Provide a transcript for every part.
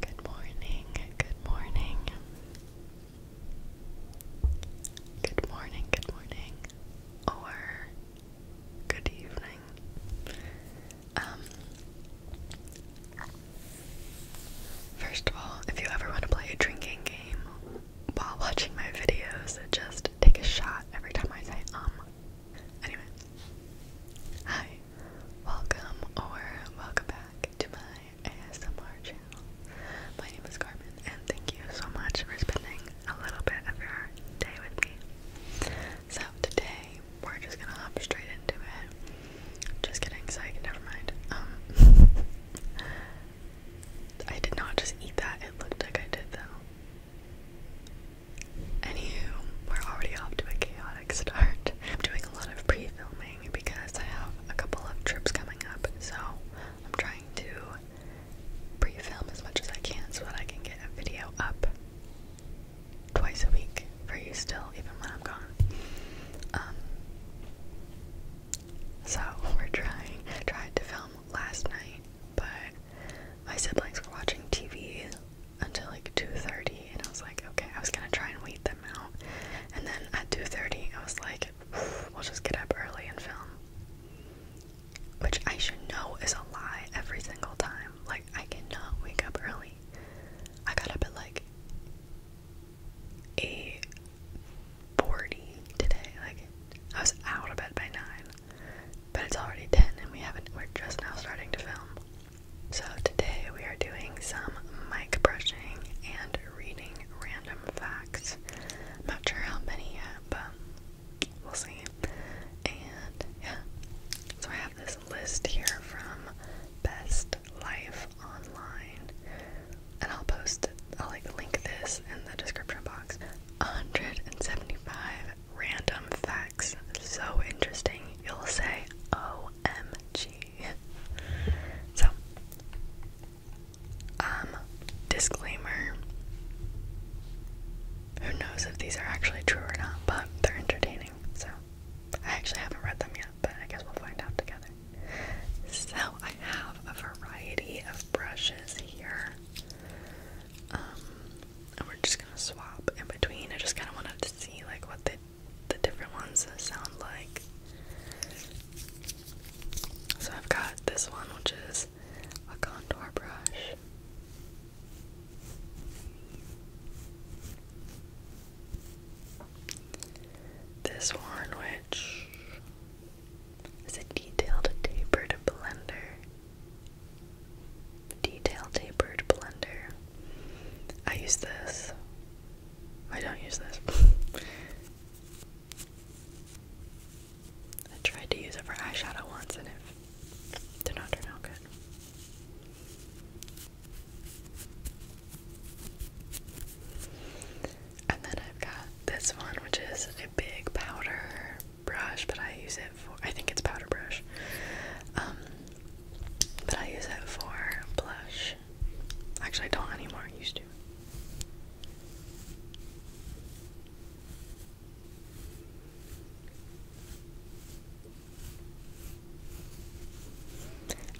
Good morning, good morning. Good morning, good morning. Or good evening. Um First of all, if you ever want to play a drinking game while watching my videos, just take a shot every time I say um. Anyway. Hi. Welcome or welcome back to my ASMR channel. My name is Carmen and thank you so much for spending a little bit of your day with me. So today we're just gonna hop straight into it. Just kidding, psych, never mind. Um, I did not just eat that, it looked like I did though. Anywho, we're already off to a chaotic start. I'm doing a lot of pre-filming because I have a couple of trips coming up, so I'm trying to pre-film as much as I can so that I can get a video up twice a week for you still, even when I'm gone. Um, so we're trying. I tried to film last night, but my siblings were watching TV until like 2:30, and I was like, okay, I was gonna try and wait them out, and then at 2:30, I was like, we'll just get up early and film, which I should know is a lie every single time. Like I cannot wake up early. I got up at like 8:40 today. Like I was out of bed by nine, but it's already 10, and we haven't. We're just now starting to film. So today we are doing some mic brushing and reading random facts. not sure how many yet, but we'll see. And yeah, so I have this list here from Best Life Online, and I'll post, I'll like link this in the description box. 175 random facts so interesting, you'll say OMG. So, um, disclaimer who knows if these are actually true or not, but they're entertaining, so I actually haven't read them yet, but I guess we'll find out together. So, I have a variety of brushes here. Um, and we're just gonna swap in between. I just kind of wanted to see like what the the different ones sound like. So I've got this one, which is a contour brush. This one, which is a detailed tapered blender. Detail tapered blender. I use this. I don't use this. I tried to use it for eyeshadow once and it did not turn out good. And then I've got this one, which is a big powder brush, but I use it for, I think it's powder brush. Um, but I use it for blush. Actually, I don't anymore. I used to.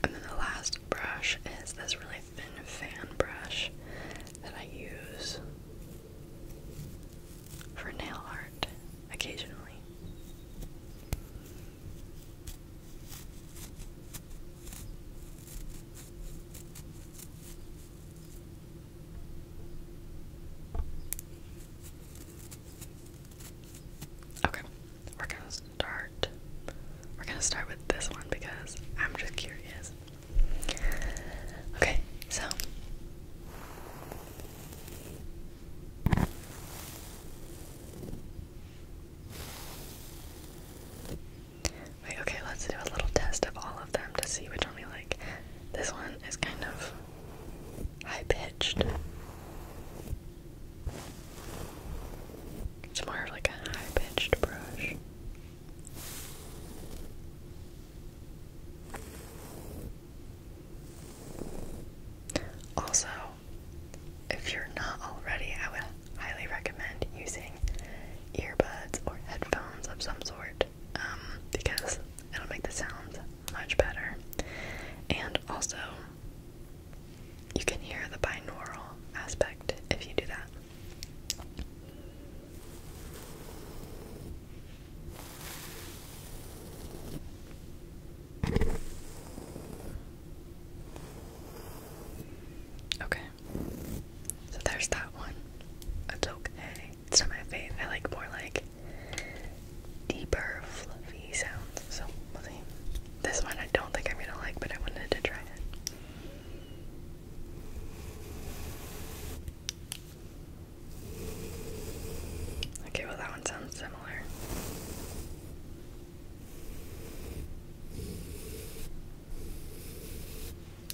And then the last brush is this really thin fan brush that I use for nail art occasionally. Okay, we're gonna start. We're gonna start with this one because I'm just curious. Okay, so okay, let's do a little test of all of them to see which one we like. This one is kind of high pitched. It's more like a high pitched brush. Also, if you're not already, I would highly recommend using earbuds or headphones of some sort um, because it'll make the sounds much better. And also, you can hear the binaural aspect if you do that. Okay. So there's that one. It's okay. It's not my favorite. I like more like deeper, fluffy sounds. So we'll see. This one I don't think I'm gonna like, but I wanted to try it. Okay, well, that one sounds similar.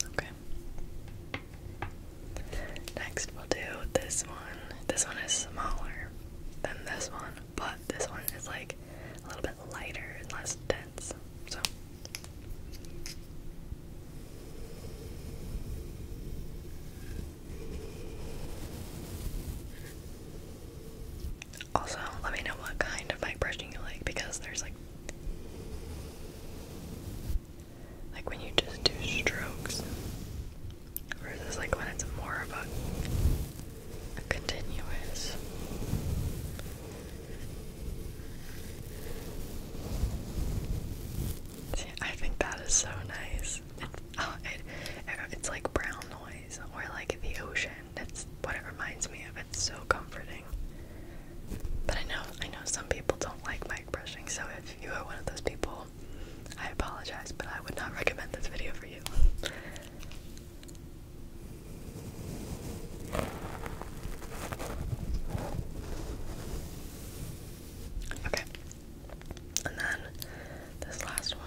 Okay. Next, we'll do this one. This one is smaller than this one, but this one is like a little bit lighter and less dense. So. Also, let me know what kind of mic brushing you like because there's like like when you just do strokes versus like when it's more of a, continuous See, I think that is so nice. It's, oh, it's like brown noise or like the ocean. That's what it reminds me of. It's so comforting. But I know I know some people don't like mic brushing, so if you are one of those people, I apologize, but I would not recommend this video for you. Okay, and then this last one.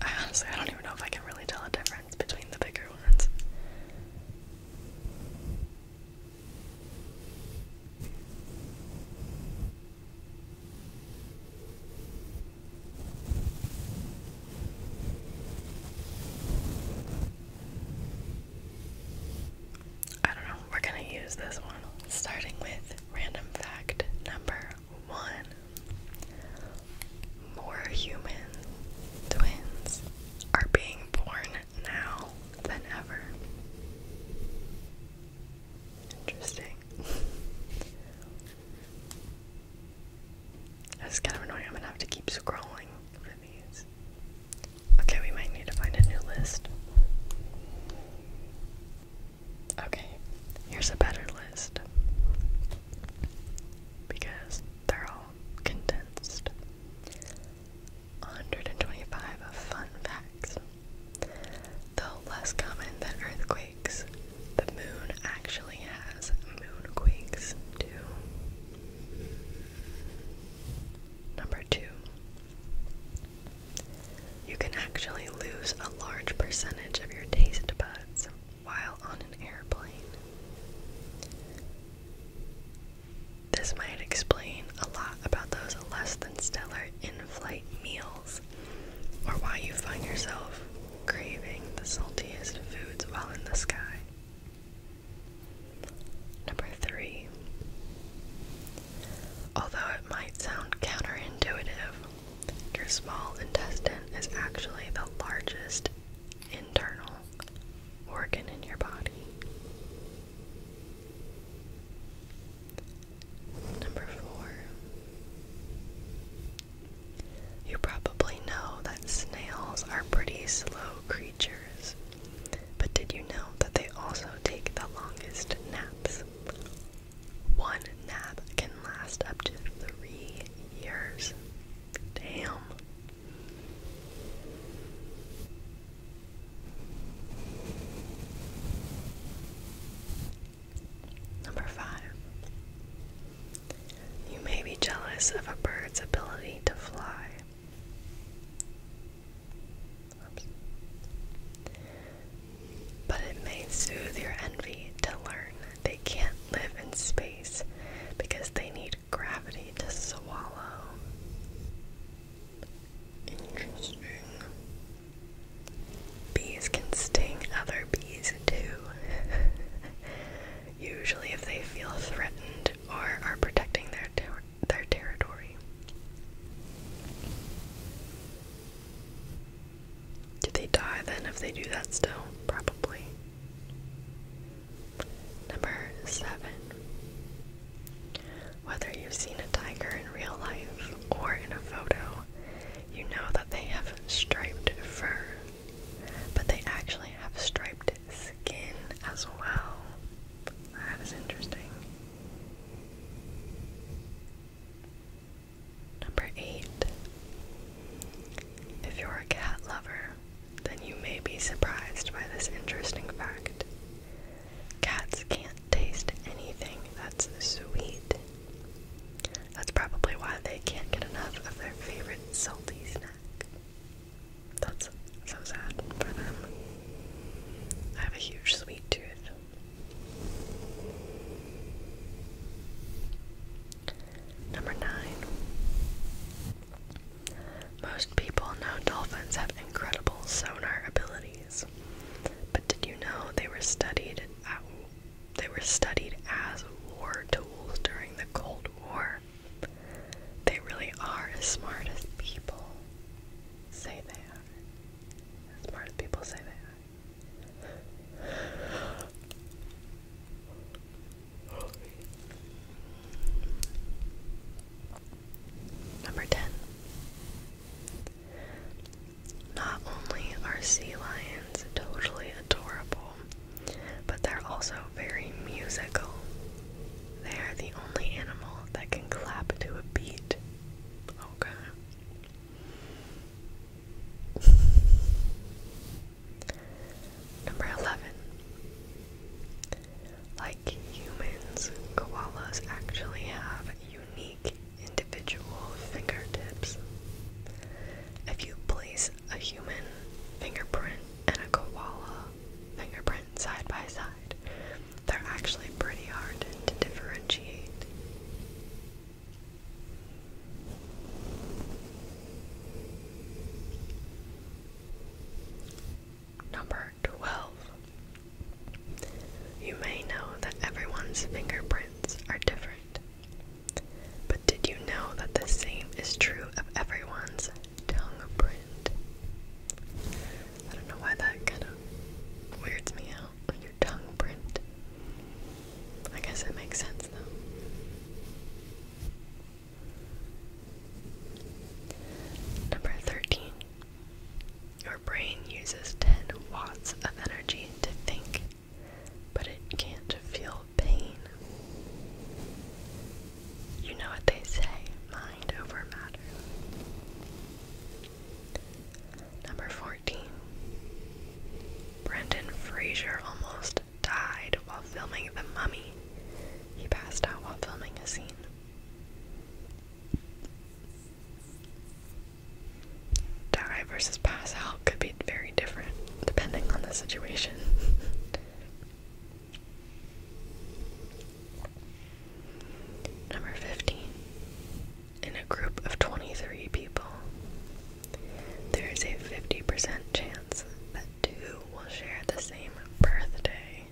I honestly, I don't even know if I can really tell a difference between the bigger ones. I don't know, we're going to use this one. Starting with random fact number one More human twins are being born now than ever. Interesting. That's kind of annoying. I'm gonna have to keep scrolling for these. Okay, we might need to find a new list. Okay, here's a better list. Because they're all condensed. 125 fun facts. Though less common than earthquakes, the moon actually has moonquakes too. Number two, you can actually lose a large percentage of your taste buds while on an airplane. This might explain a lot about those less than stellar in flight meals or why you find yourself craving the saltiest foods while in the sky. Number three. Although it might sound counterintuitive, your small intestine is actually the largest internal organ in your body. Number four. You probably know that snails are pretty slow creatures, but did you know that they also take the longest naps? One nap can last up to three years. Damn. Number five, you may be jealous of a bird's ability to fly. But it may soothe your envy to learn they can't live in space because they need gravity to swallow. Interesting. Bees can sting other bees too. Usually, if they feel threatened or are protecting their their territory. Do they die then if they do that still? Probably. Number seven. Whether you've seen a tiger in real life or in a photo, you know that they have striped fur, but they actually have striped skin as well. That is interesting. Number eight. If you're a cat lover, then you may be surprised by this interesting fact. Cats can't taste anything that's sweet that's probably why they can't get enough of their favorite salty snack. That's so sad for them. I have a huge sweet tooth. Number 9. Most people know dolphins have incredible sonar abilities drugs. But did you know they were studied at, they were studied as war tools during the Cold War? They really are as smart as people say they are. As smart as people say they are. Number 10. Not only are sea lions totally adorable, but they're also very musical. They are the only animal that can clap to a beat. Okay. Number 11. Like humans, koalas actually have unique individual fingertips. If you place a human fingerprint and a koala fingerprint side by side, they're actually pretty hard to differentiate. Number 12. You may know that everyone's fingerprints are different. But did you know that the same is true of everyone's tongue print? I don't know why that kind of weirds me out. Your tongue print. I guess it makes sense though. Number 13. Your brain uses 10 watts of energy to think, but it can't feel pain. You know what they say mind over matter. Number 14. Brendan Fraser almost died while filming The Mummy. He passed out while filming a scene die versus pass out could be very different depending on the situation. Number 15. In a group of 23 people, there is a 50% chance that two will share the same birthday.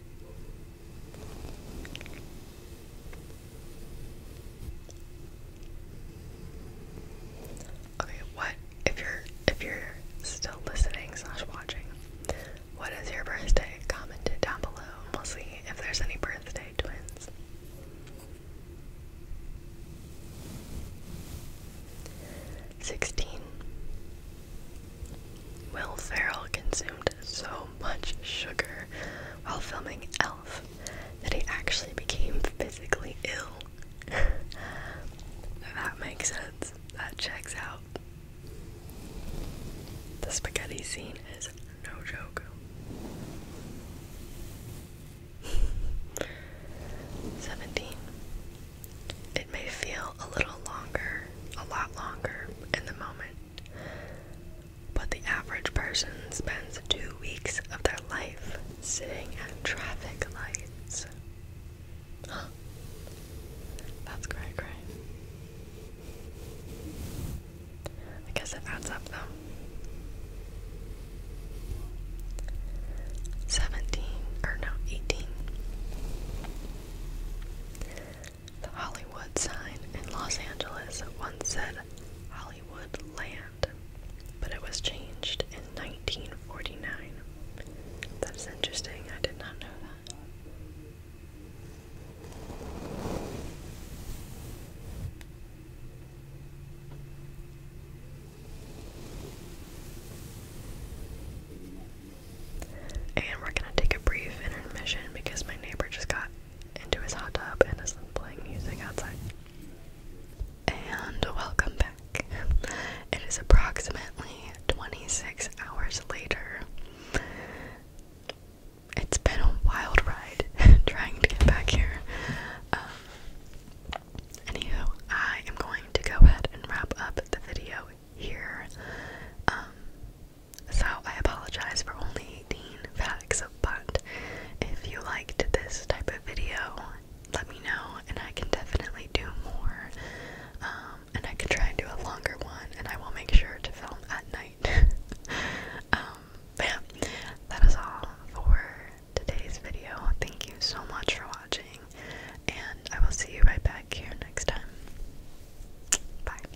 Okay, what if you're if you're still listening slash watching, what is your birthday? Comment it down below we'll see if there's any birthday twins. Sixteen. Will Ferrell consumed so much sugar while filming Elf that he actually became physically ill. that makes sense. That checks out. The spaghetti scene is no joke. Seventeen. It may feel a little longer, a lot longer in the moment, but the average person spends two weeks of their life sitting at traffic lights. That's great, great. I guess it adds up though. Seventeen or no, eighteen. Wood sign in Los Angeles once said Hollywood Land, but it was changed in 1949. That's interesting, I did not know that. And we're gonna take a brief intermission because my neighbor just got into his hot tub and is playing music outside. And welcome back. It is approximately 26 hours later. It's been a wild ride trying to get back here. Um, anywho, I am going to go ahead and wrap up the video here. Um, so I apologize for only 18 facts, but if you liked this type of video, let me know and I can definitely do more. Um, and I can try and do a longer one, and I will make sure to film at night. Um, but yeah, that is all for today's video. Thank you so much for watching, and I will see you right back here next time. Bye.